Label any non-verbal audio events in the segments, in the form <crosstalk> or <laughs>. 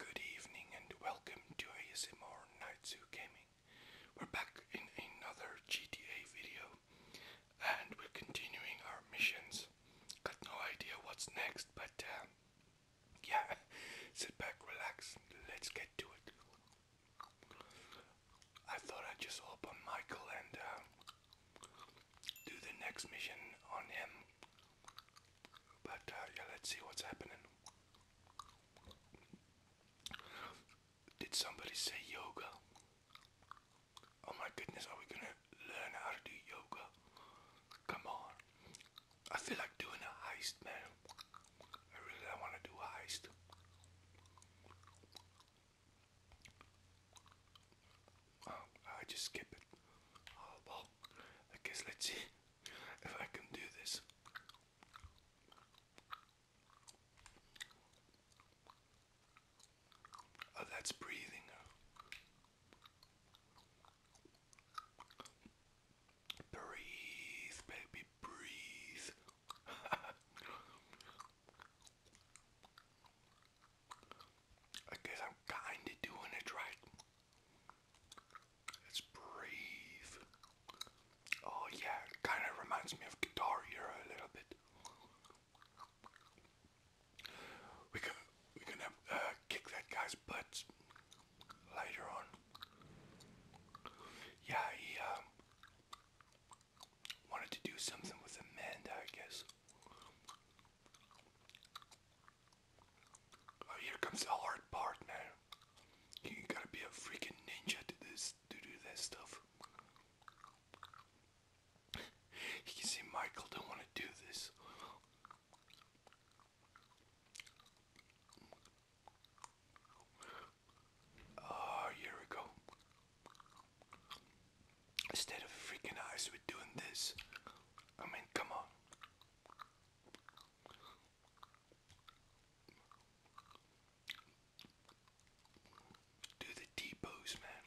Good evening and welcome to ASMR Nightsu Gaming. We're back in another GTA video and we're continuing our missions. Got no idea what's next, but uh, yeah, <laughs> sit back, relax, let's get to it. I thought I'd just open Michael and uh, do the next mission on him. But uh, yeah, let's see what's happening. Did somebody say yoga? Oh my goodness, are we gonna learn how to do yoga? Come on. I feel like doing a heist, man. I really don't want to do a heist. Um, I just skip it. Oh, well, I guess let's see if I can do this. Oh, that's breathing. Breathe, baby, breathe. <laughs> I guess I'm kinda doing it right. It's brave. Oh yeah, kinda reminds me of Guitar Hero a little bit. We can we can uh, kick that guy's butt later on. Yeah, he um, wanted to do something with Amanda, I guess. Oh, here comes the hard part, now. You gotta be a freaking ninja to this, to do that stuff. <laughs> you can see Michael don't want to do this. Oh, here we go. Instead of freaking us with doing this, I mean, come on. Do the T man.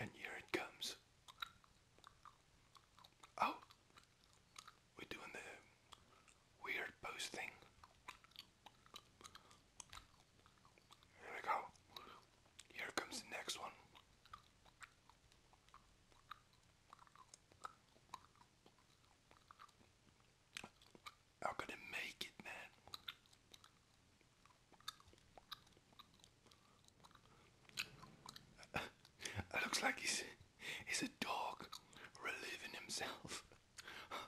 And here it comes. Oh, we're doing the weird pose here we go. Here comes the next one. How could it make it, man? <laughs> it looks like he's he's a dog relieving himself. <laughs>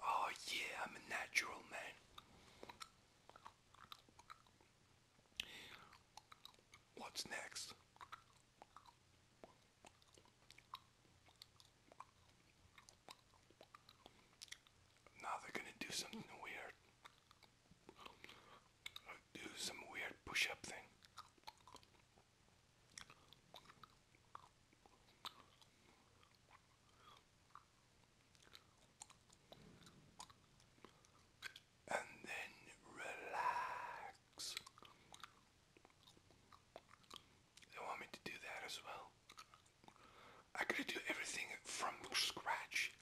Oh, yeah, I'm a natural man. What's next? Now they're gonna do something weird. Do some weird push up thing and then relax. They want me to do that as well. I gotta do everything from scratch.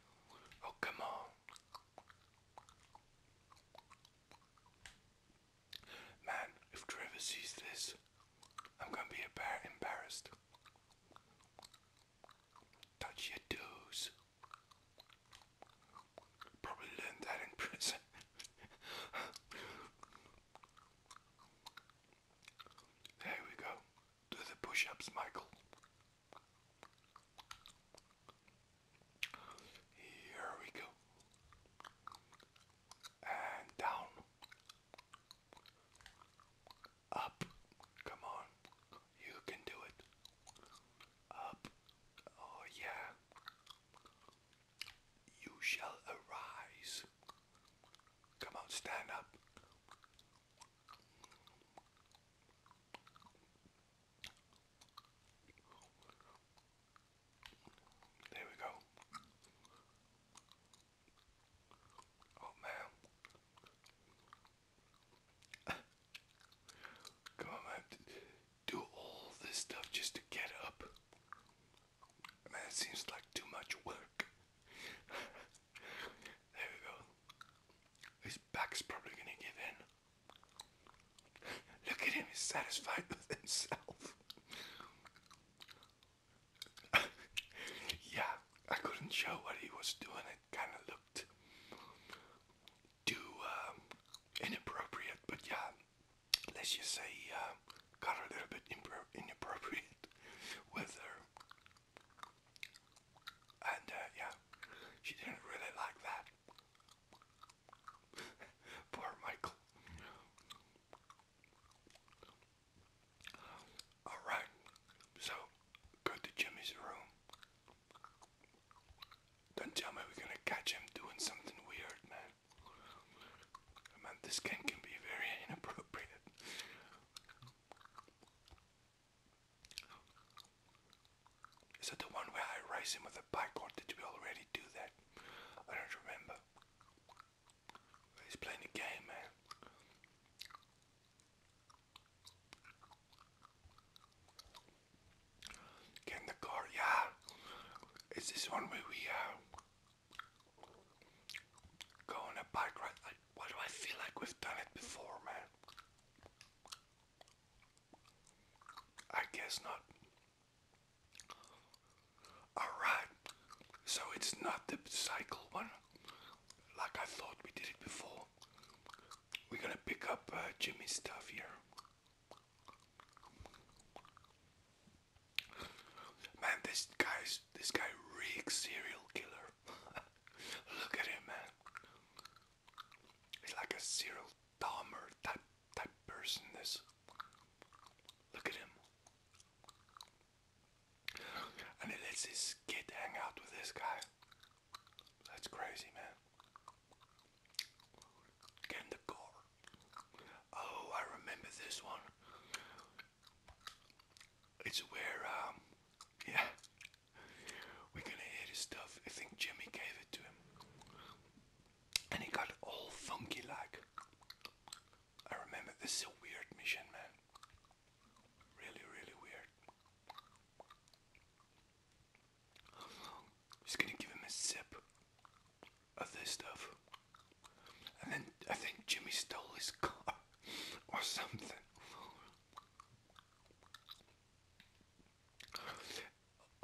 Oh, come on. Man, if Trevor sees this, I'm gonna be embarrassed. Touch your Probably learned that in prison. <laughs> there we go. Do the push ups, Michael. Here we go and down, up, come on, you can do it, up, oh yeah, you shall arise, come on, stand up. There we go. Oh man. Come on man. Do all this stuff just to get up. Man, it seems like too much work. <laughs> there we go. His back's probably gonna give in. Look at him, he's satisfied with himself. <laughs> yeah, I couldn't show what he was doing. It kind of looked too um, inappropriate, but yeah, let's just say he uh, got a little bit inappropriate <laughs> with her. And uh, yeah, she didn't really like that. <laughs> Poor Michael. Alright, so go to Jimmy's room. Don't tell me we're gonna catch him doing something weird, man. Man, this game can be very <laughs> inappropriate. Is it the one where I race him with a bike, or did we already do that? I don't remember. He's playing a game, man. Get the car, yeah. Is this one where we uh, go on a bike ride? why do I feel like we've done it before, man? I guess not. Alright, so it's not the cycle one like I thought we did it before. We're gonna pick up uh, Jimmy's stuff here. Man, this guy's this guy reeks serial killer. <laughs> Look at him, man. He's like a serial bomber type that person This Look at him. And he lets his kid hang out with this guy. That's crazy, man. Get the car. Oh, I remember this one. It's where, um, yeah, we're gonna hear his stuff. I think Jimmy gave it to him and he got all funky like. I remember this is a weird mission, man. Really, really weird. Just gonna give him a sip of this stuff. And then I think Jimmy stole his car <laughs> or something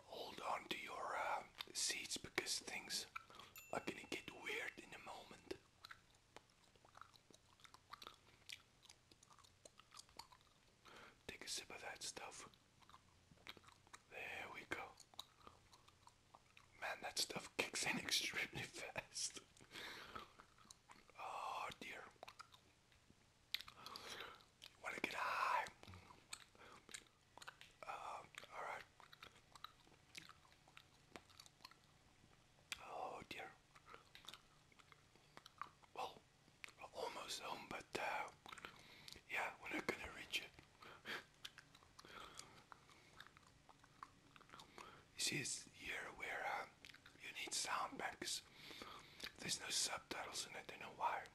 hold on to your uh, seats because things are gonna get weird in a moment. Take a sip of that stuff. There we go. Man, that stuff kicks in <laughs> extremely fast. oh dear. Want to get high? Uh, all right. Oh dear. Well, almost home, but uh, yeah, we're not gonna reach it. You see, it's where uh, you need sound banks. There's no subtitles in it. I don't know why.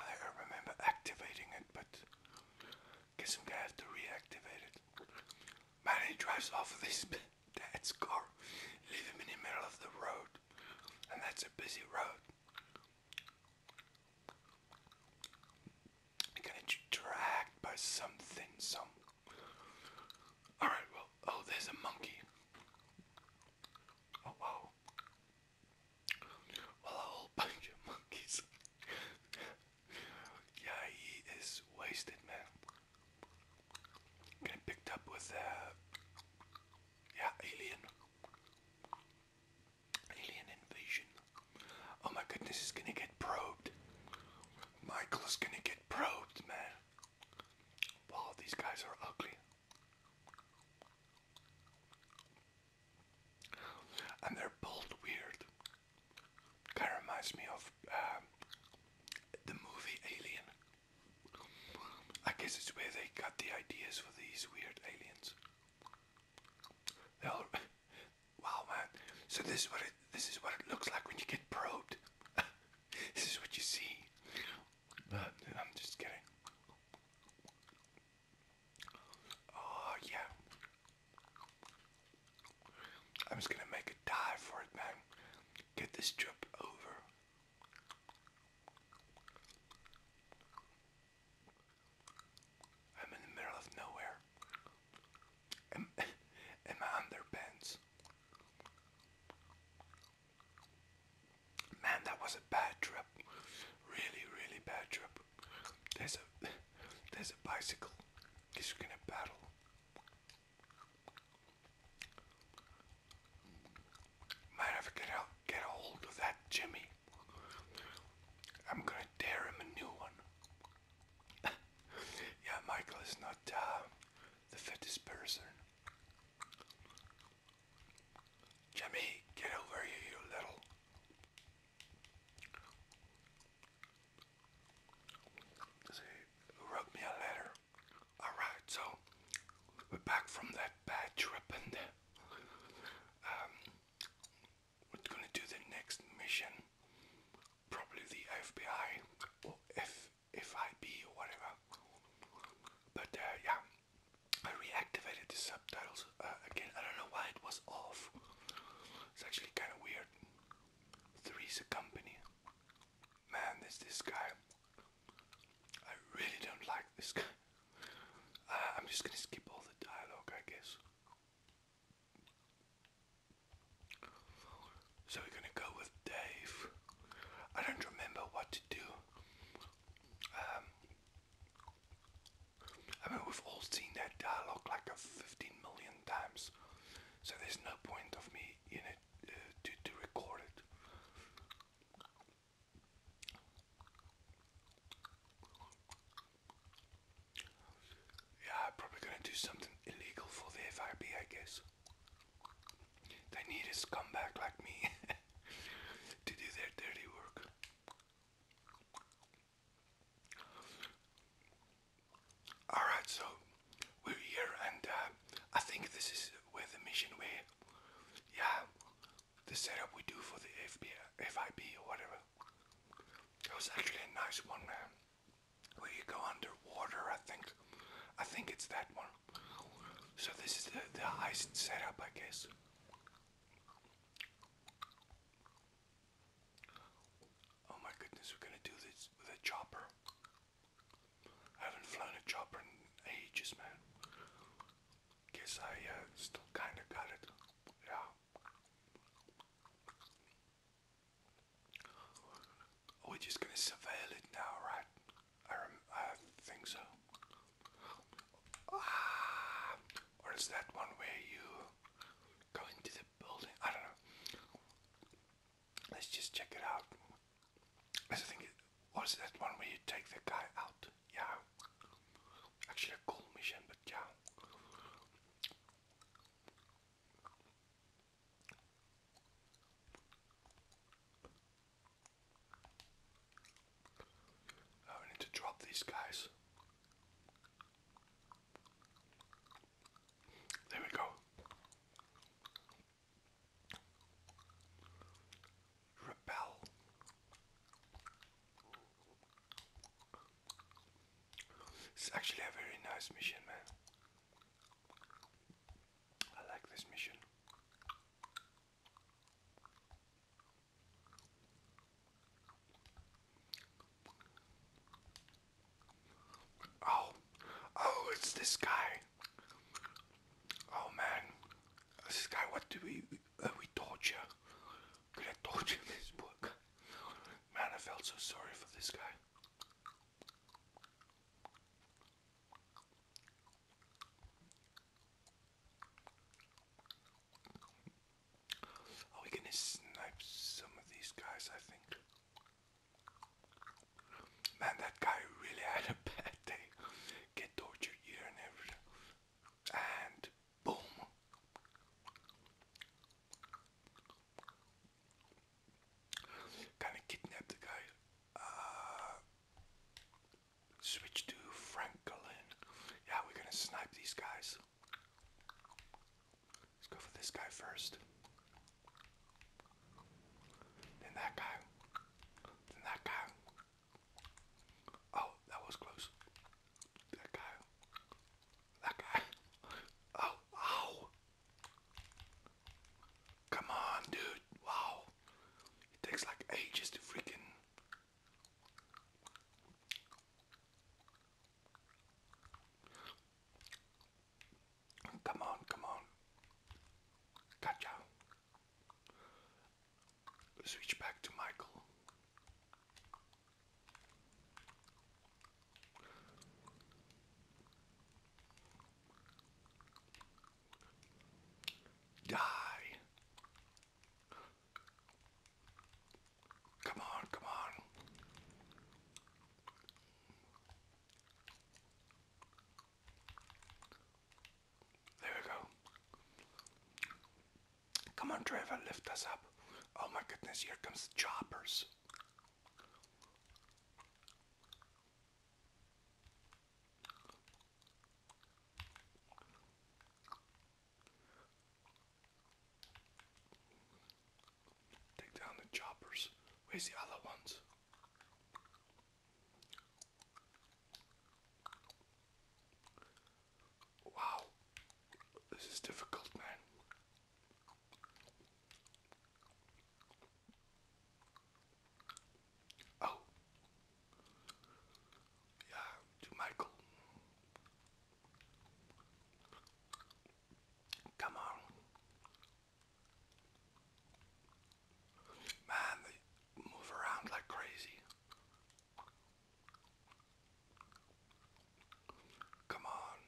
I remember activating it, but guess I'm gonna have to reactivate it. Man, he drives off this <laughs> dad's car, leave him in the middle of the road, and that's a busy road. I'm dragged by something, some Alright, well, oh, there's a monkey. Oh, wow. Well, a whole <laughs> bunch of monkeys. yeah, he is wasted, man. Getting picked up with, uh, yeah, alien. Alien invasion. Oh my goodness, he's gonna get probed. Michael's gonna get probed, man. Wow, oh, these guys are ugly. And they're both weird. Kind of reminds me of um, the movie Alien. I guess it's where they got the ideas for these weird aliens. <laughs> wow, man! So this is what it this is what it looks like when you get probed. <laughs> This is what you see. Uh, I'm just kidding. Oh, yeah. I'm just gonna make a dive for it, man. Get this trip over. I'm in the middle of nowhere. am <laughs> I underpants? Man, that was a bad trip. Really, really bad trip. There's a there's a bicycle. He's gonna battle. Might have to get out get a hold of that Jimmy. I'm gonna tear him a new one. <laughs> yeah, Michael is not uh, the fittest person. Jimmy, get over here, you little. See, wrote me a letter. Alright, so we're back from that bad trip and um, we're gonna do the next mission. Probably the FBI or F FIB or whatever. But uh, yeah, I reactivated the subtitles uh, again. I don't know why it was off. It's actually kind of weird. Three's a company. Man, there's this guy. I really don't like this guy. Uh, I'm just gonna skip all the dialogue, I guess. So we're gonna go with Dave. I don't remember what to do. Um, I mean, we've all seen that dialogue like 15 million times, so there's no point of me in it uh, to, to record it. Yeah, probably gonna do something illegal for the FIB, I guess. They need a scumbag like me <laughs> to do their dirty work. Alright, so we're here, and uh, I think this is where the mission where, yeah, the setup we do for the FB, FIB or whatever. It was actually a nice one, man where you go underwater. I think, I think it's that one. So this is the, the heist setup, I guess. Oh my goodness, we're gonna do this with a chopper. I haven't flown a chopper in ages, man. Guess I uh, still kinda got it. Yeah. We're just gonna surveil it now, right? I, I think so. Ah, or that one where you go into the building? I don't know. Let's just check it out. I think it that one where you take the guy out. Yeah. Actually, a cool mission, but yeah. Now oh, need to drop these guys. There we go. Repel. It's actually a very nice mission, man. I like this mission. Oh, oh, it's this guy. Oh man, this guy. What do we uh, we torture? Could I in this book? Man, I felt so sorry for this guy. Are we gonna snipe some of these guys? I think. Man, that guy really had a bad day. Get tortured here and everything. And Boom. Kind of kidnapped the guy. Uh, switch to Franklin. Yeah, we're gonna snipe these guys. Let's go for this guy first. Then that guy. Then that guy. Oh, that was close. That guy. That guy. Oh, ow. Come on, dude. Wow. It takes like ages to freaking. Come on, come on. Gotcha. Switch back to Michael. Die. Come on, come on. There we go. Come on, Trevor, lift us up. Oh my goodness, here comes choppers. Take down the choppers. Where's the other ones? Wow, this is difficult, man. Oh, yeah, to Michael. Come on. Man, they move around like crazy. Come on.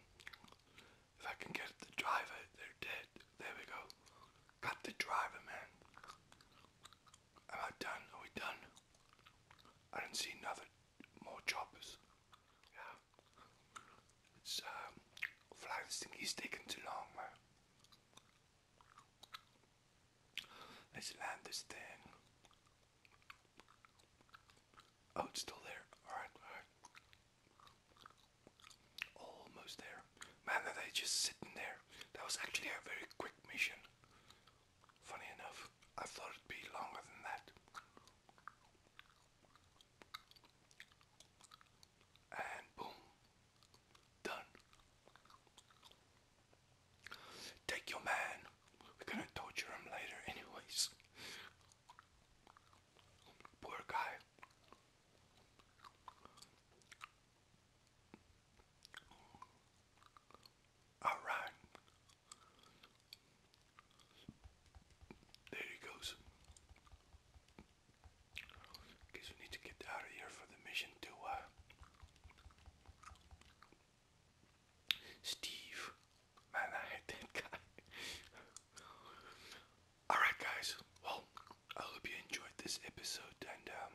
If I can get it to they're dead. There we go. Got the driver, man. Am I done? Are we done? I didn't see another more choppers. Yeah. It's um fly this taking too long, man. Let's land this thing. Oh, it's still there. Alright, alright. Almost there. Man, are they just sitting there? That was actually a very quick mission. Funny enough, I thought it'd be longer than that. And boom. Done. Take your man. We're gonna torture him later, anyways. Poor guy. Alright. There he goes. Guess we need to get out of here for the mission to Steve. Man, I hate that guy. <laughs> Alright, guys. Well, I hope you enjoyed this episode. And um,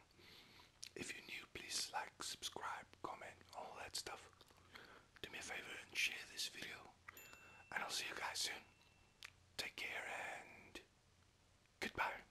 if you're new, please like, subscribe, comment, all that stuff. Do me a favor and share this video. And I'll see you guys soon. Take care and goodbye.